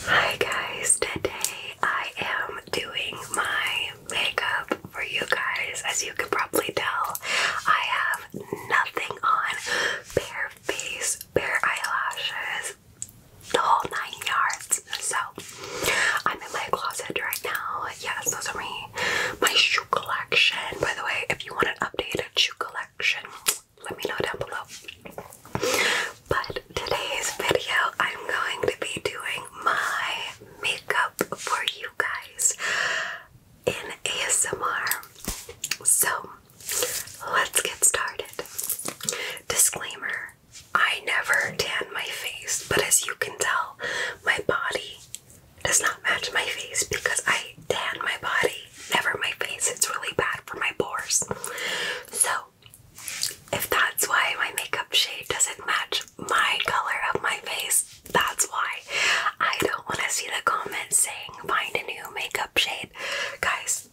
Hi guys, today I am doing my makeup for you guys. As you can probably tell, I have nothing on. Bare face, bare eyelashes, the whole nine yards. So I'm in my closet right now. Yes, those are me. My shoe collection. By the way, if you want an updated shoe collection, let me know down below. But today's video, I'm going to be doing my makeup for you guys in ASMR. So let's get started. Disclaimer I never tan my face, but as you can tell, my body does not match my face because I tan my body, never my face. It's really bad for my pores. So, if that's why my makeup shade doesn't match my color of my face, that's why. I don't want to see the comments saying find a new makeup shade. Guys,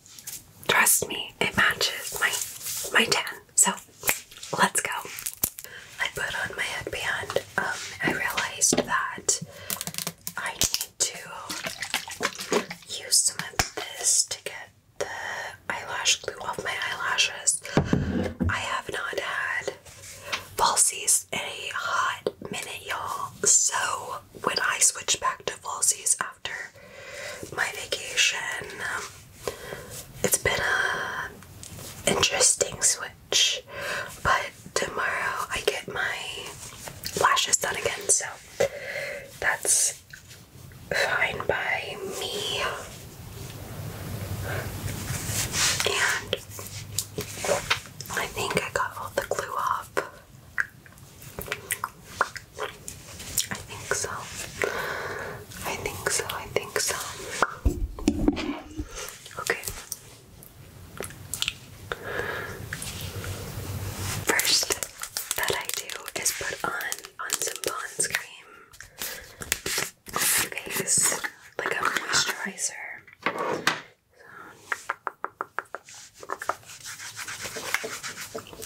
Trust me, it matches my my tan. So let's go. I put on my headband. Um, I realized that I need to use some of this to get the eyelash glue off my eyelashes. I have not had falsies any hot minute, y'all. So when I switch back to falsies, after my vacation. Um, it's been a interesting switch, but tomorrow I get my lashes done again, so that's fine by me. And I think I got all the glue off. I think so. I think so. I think so. Okay. First that I do is put on on some Pond's cream on my like a moisturizer. And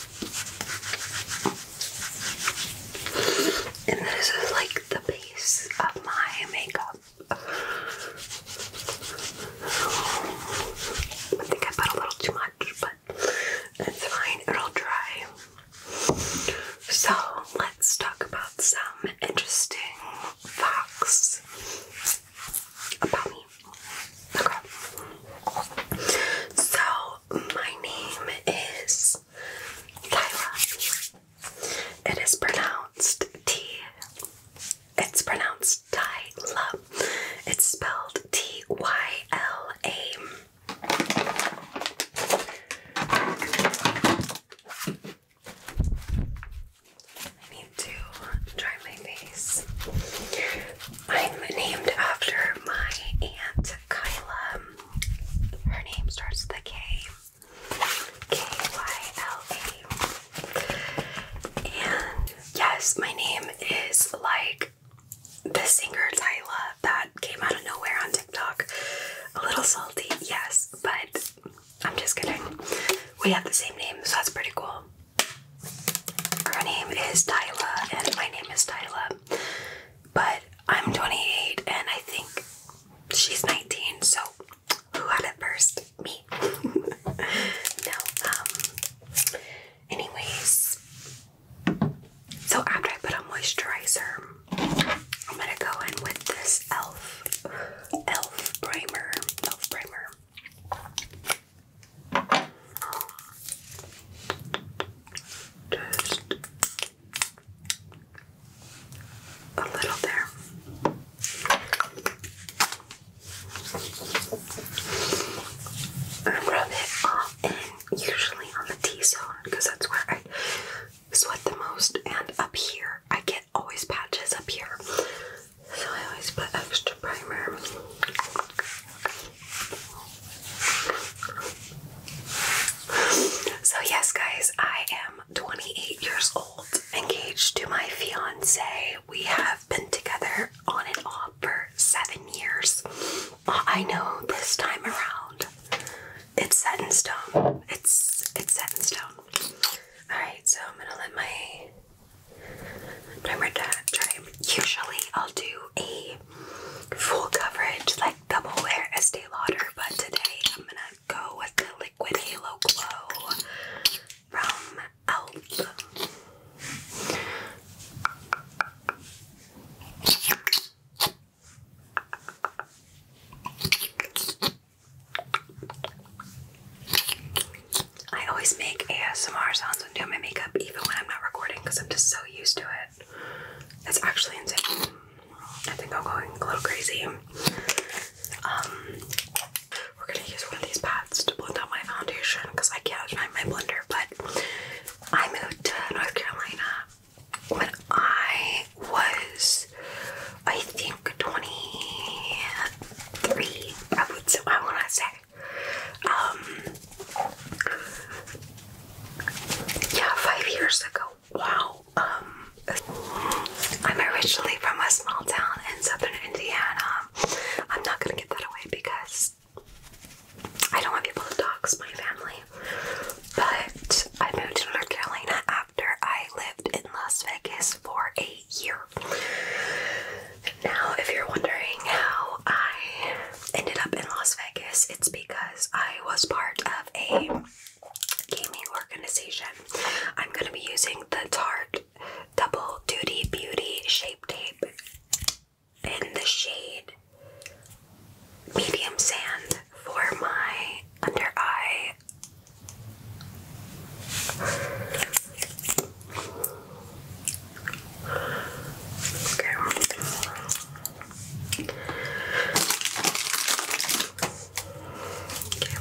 this is like the base of my makeup. I think I put a little too much, but it's fine, it'll dry. So, let's talk about some interesting facts about me. Okay. So, my name is Tyra. It is pronounced T. It's pronounced Tyla. It's spelled T Y L A. I need to dry my face. I'm named after my aunt Kyla. Her name starts with a K. K Y L A. And yes, my name is like the singer Tyla that came out of nowhere on TikTok. A little salty, yes, but I'm just kidding. We have the same name, so that's pretty cool. Her name is Tyla, and my name is Tyla. But I'm 28 and I think she's 19, so who had it first? Me. no, um, anyways. So after I put on moisturizer, I'm gonna go in with this e.l.f. e.l.f. primer. E.l.f. primer. Just a little there. I rub it off and usually on the T-zone because that's where I sweat the most and up here I get always patches up here. So I always put extra primer. So, yes, guys, I am 28 years old, engaged to my fiance. We have been together on and off for seven years. I know this time around it's set in stone. It's it's set in stone. Alright, so I'm gonna let my timer try. Usually I'll do a full coverage, like double wear Estee Lauder, but today I'm gonna go with the Liquid Halo Glow from e.l.f. I always make ASMR sounds when doing my makeup, even when I'm not recording, because I'm just so used to it. That's actually insane. I think I'm going a little crazy. Um, we're gonna use one of these pads to blend out my foundation because I can't find my blender. But I moved to North Carolina when I was, I think, 23. I would say, I want to say. Um, yeah, five years ago. Wow. Um, I'm originally from a small town in southern Indiana. I'm not gonna get that away because I don't want people to talk to my family. But I moved to North Carolina after I lived in Las Vegas for a year. Now, if you're wondering how I ended up in Las Vegas, it's because I was part of a gaming organization. I'm going to be using the Tarte Double Duty Beauty Shape Tape in the shade Medium Sand for my under eye. Okay. Okay,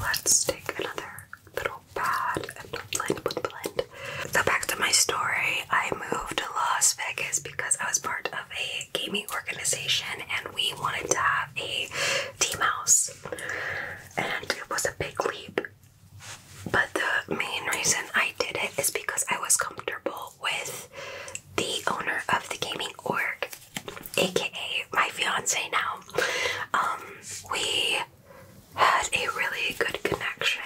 let's take another little pad and blend, blend, blend. So back to my story. I moved to Las Vegas because I was part of a gaming organization and we wanted to have a team house. And it was a big leap. But the main reason I did it is because I was comfortable with the owner of the gaming org, aka my fiance now. Um, we had a really good connection.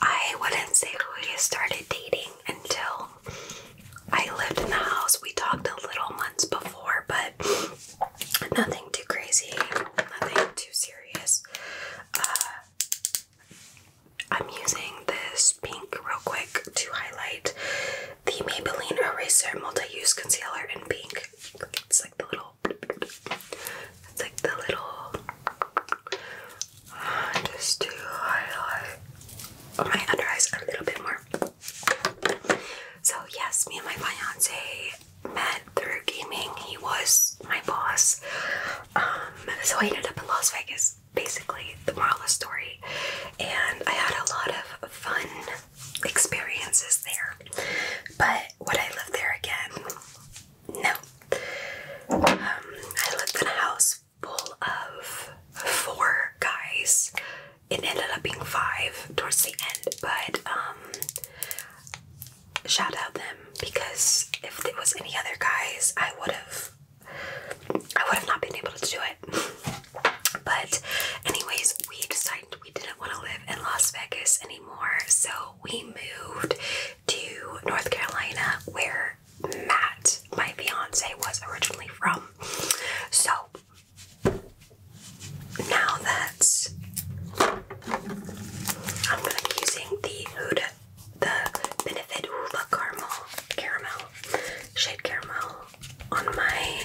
I wouldn't say we started dating until I lived in the house. We talked a little months before, but nothing too crazy, nothing too serious. Uh, I'm using this pink real quick to highlight the Maybelline Eraser Multi-Use Concealer in pink. It's like the little, it's like the little, uh, just to highlight oh, my under eyes a little bit more. So yes, me and my fiance met through gaming. He was my boss. Um, so I ended up in Las Vegas basically the moral of the story. And I had a lot of fun experiences there. But what I lived there again? No. Um, I lived in a house full of four guys. It ended up being five towards the end, but um, shout out them because if there was any other guys, I would have I would have not been able to do it. But, anyways, we decided we didn't want to live in Las Vegas anymore, so we moved to North Carolina, where Matt, my fiance, was originally from. So, now that I'm gonna be using the the Benefit Hoover Caramel Caramel Shade Caramel on my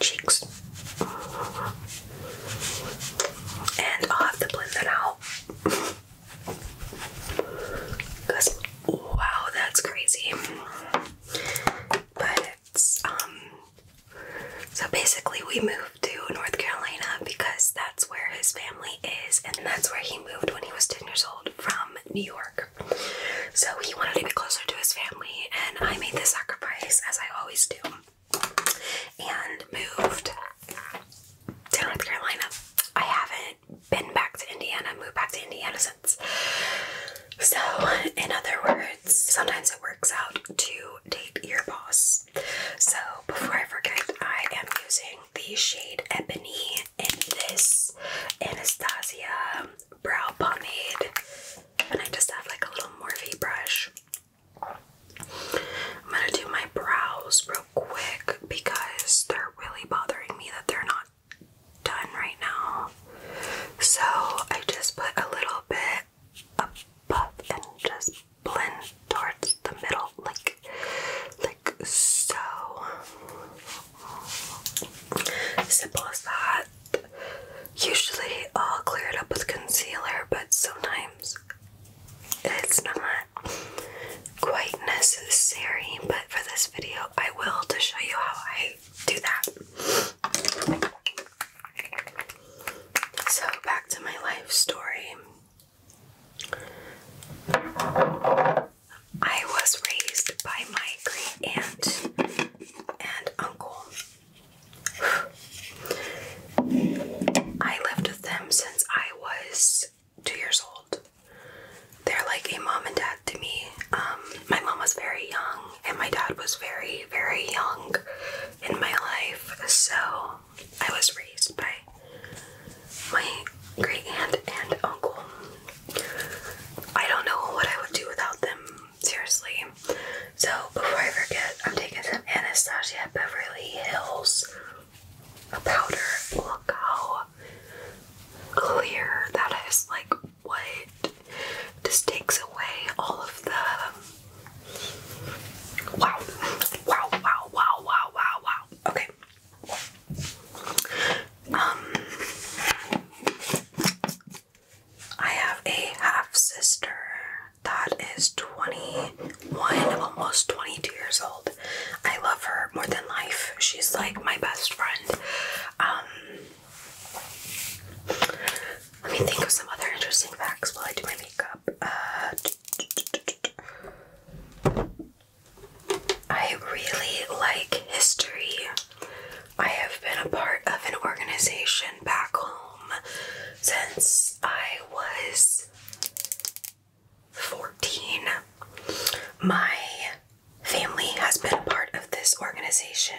cheeks. And I'll have to blend that out. Because, wow, that's crazy. But um, so basically, we moved to North Carolina because that's where his family is, and that's where he moved when he was 10 years old from New York. So he wanted to be closer to his family, and I made the sacrifice as I always do and moved to North Carolina. I haven't been back to Indiana, moved back to Indiana since. So, in other words, sometimes it works out to date your boss. So, before I forget, I am using the shade Ebony in this Anastasia brow pomade. And I just have like a little Morphe brush. I'm gonna do my brows real quick because they're really bothering me that they're not done right now. So I just put a little bit up, and just blend towards the middle, like like so simple as that. Usually I'll clear it up with concealer, but sometimes it's not quite necessary. But for this video, I will to show you how I do that. So, back to my life story. I was raised by my great aunt and uncle. I lived with them since I was two years old. They're like a mom and dad to me. Um, my mom was very young, and my dad was very, very young in my life. So I was raised by my great aunt and uncle. I don't know what I would do without them, seriously. So, before I forget, I'm taking some Anastasia Beverly Hills powder. Look how clear that is. Like, what? This takes away all of the. Wow. Wow, wow, wow, wow, wow, wow. Okay, um, I have a half sister that is 21, almost 22 years old. I love her more than life. She's like my best friend. Um, let me think of some other interesting facts while I do my makeup. Uh, I really like history. I have been a part of an organization back home since I was 14. My family has been a part of this organization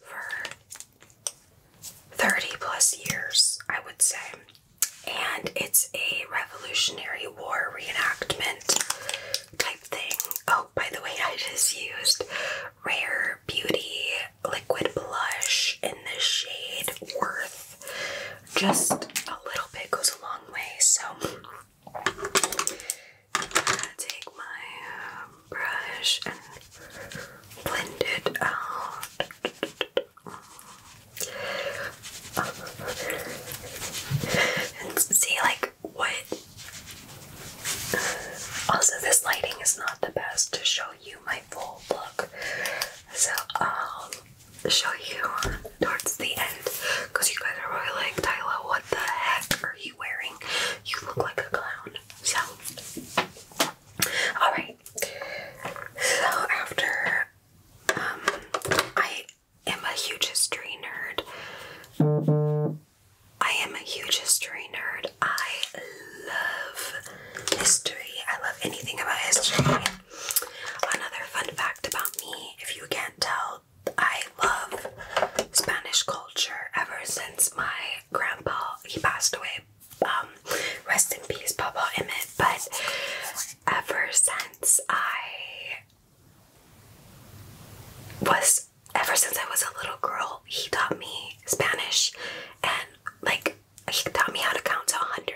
for 30 plus years, I would say and it's a Revolutionary War reenactment type thing. Oh, by the way, I just used Rare Beauty Liquid Blush in the shade Worth. Just a little bit goes a long way, so i take my um, brush and blend it out and see, like, what. Also, this lighting is not the best to show you my full look, so I'll um, show you towards the end because you guys are really like, Tyler, what the heck are you wearing? You look like a clown. So, alright. So, after um, I i am a huge history nerd. I am a huge history nerd. I love history. I love anything about history. Another fun fact about me, if you can't tell, I love Spanish culture ever since my grandpa, he passed away. Um, rest in peace, Papa Emmett. But ever since I was ever since I was a little girl, he taught me Spanish and like he taught me how to count to 100.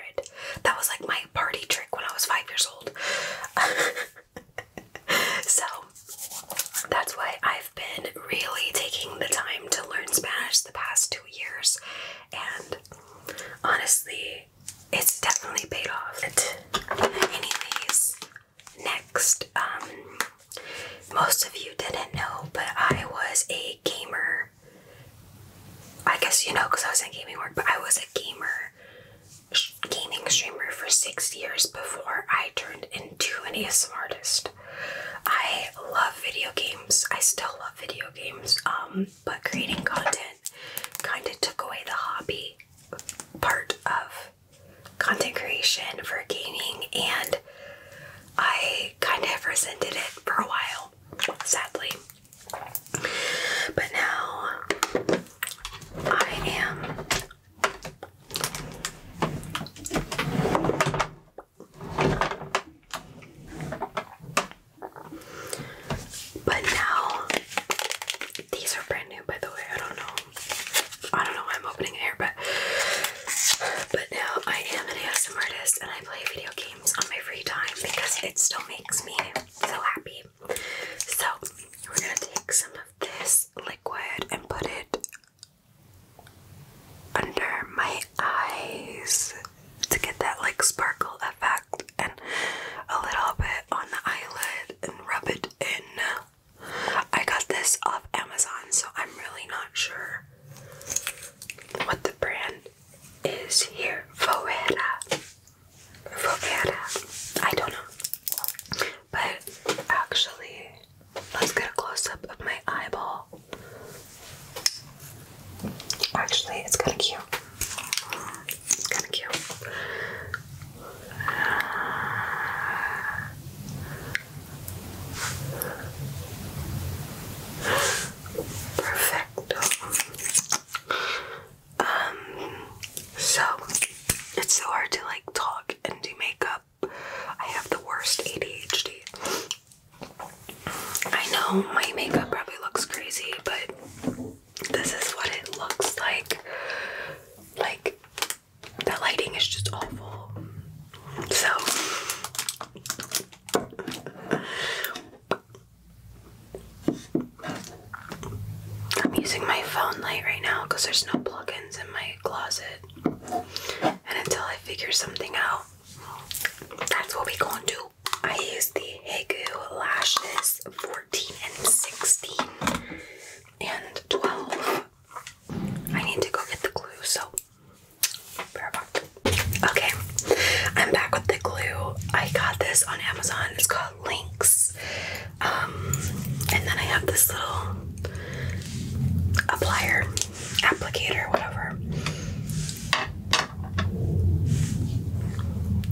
That was like my party trick when I was five years old. so that's why I've been really taking the time to learn Spanish the past two years. And honestly, it's definitely paid off. Anyways, next, um, most of you didn't know, but I was a gamer. I guess you know because I was in gaming work, but I was a gamer, gaming streamer for six years before I turned into an ASM artist. I love video games. I still love video games. Um, but creating content kind of took away the hobby part of content creation for gaming, and I kind of resented it for a while, sadly. But now I am. But now these are brand new by the way. I don't know. I don't know why I'm opening it here, but but now I am an ASM artist and I play video games on my free time because it still makes me so happy. So we're gonna take some of this liquid and put it under my eyes to get that like sparkle effect and a little bit on the eyelid and rub it in. I got this off Amazon, so I'm really not sure what the brand is here. Voera. Voera. I don't know. But actually, let's get a close up of my eyeball. Actually, it's kind of cute. It's kind of cute. Perfecto. Um, so it's so hard to like talk and do makeup. I have the worst ADHD. I know my makeup probably looks crazy, but this is what it looks like. Like, the lighting is just awful. So, I'm using my phone light right now because there's no plugins in my closet. And until I figure something out, that's what we gonna do. I use the Hegu lashes for 14 and 16 and 12. I need to go get the glue, so Okay, I'm back with the glue. I got this on Amazon. It's called Links. Um, and then I have this little applicator, applicator, whatever.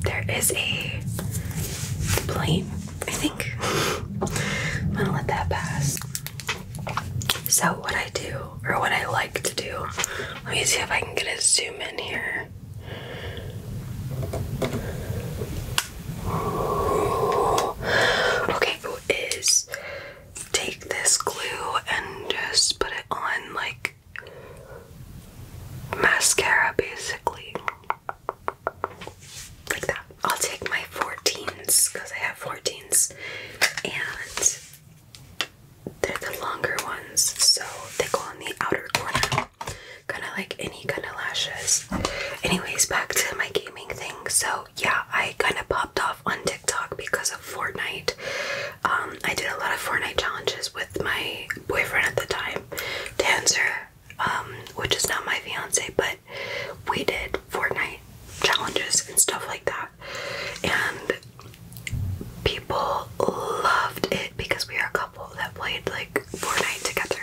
There is a plate, I think. I'm gonna let that pass. So, what I do, or what I like to do, let me see if I can get a zoom in here. Okay, it is take this glue and just put it on like mascara basically. Like that. I'll take my 14s because I have 14s and they're the longer ones, so they go on the outer corner. Kind of like any kind of lashes. Anyways, back to my gaming thing. So, yeah, I kind of popped off on TikTok because of Fortnite. Um, I did a lot of Fortnite challenges with my boyfriend at the time, Dancer. Um, which is not my fiance, but we did Fortnite challenges and stuff like that. And people loved it because we are a couple that played like Fortnite together.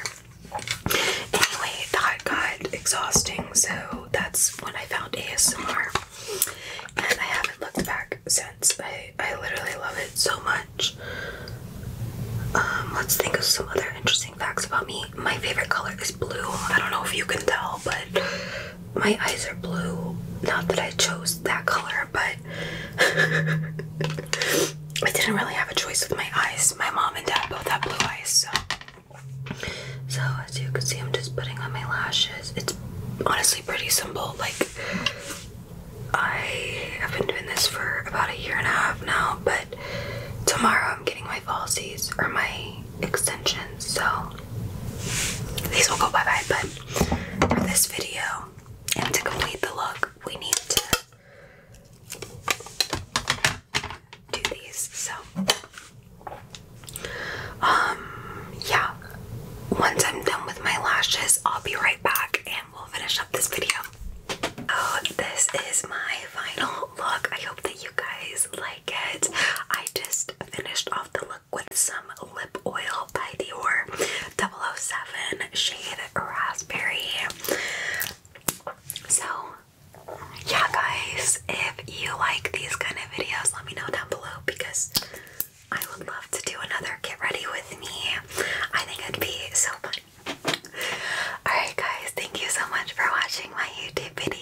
Anyway, that got exhausting, so that's when I found ASMR. And I haven't looked back since. I, I literally love it so much. Um, let's think of some other interesting facts about me. My favorite color is blue. I don't know if you can tell, but my eyes are blue. Not that I chose that color, but I didn't really have a choice with my eyes. My mom and dad both have blue eyes, so. So, as you can see, I'm just putting on my lashes. It's honestly pretty simple. Like, I have been doing this for about a year and a half now, but tomorrow I'm getting my falsies or my extensions, so these will go bye bye. But for this video and to complete the look, we need to do these. So, um, yeah, once I'm done with my lashes, I'll be right back and we'll finish up this video. Oh, this is my final look. I hope that you guys like it. I just finished off the look with some lip oil by Dior 007 shade raspberry. So, yeah, guys, if you like these kind of videos, let me know down below because I would love to do another get ready with me. I think it'd be so fun Alright, guys, thank you so much for watching my YouTube video.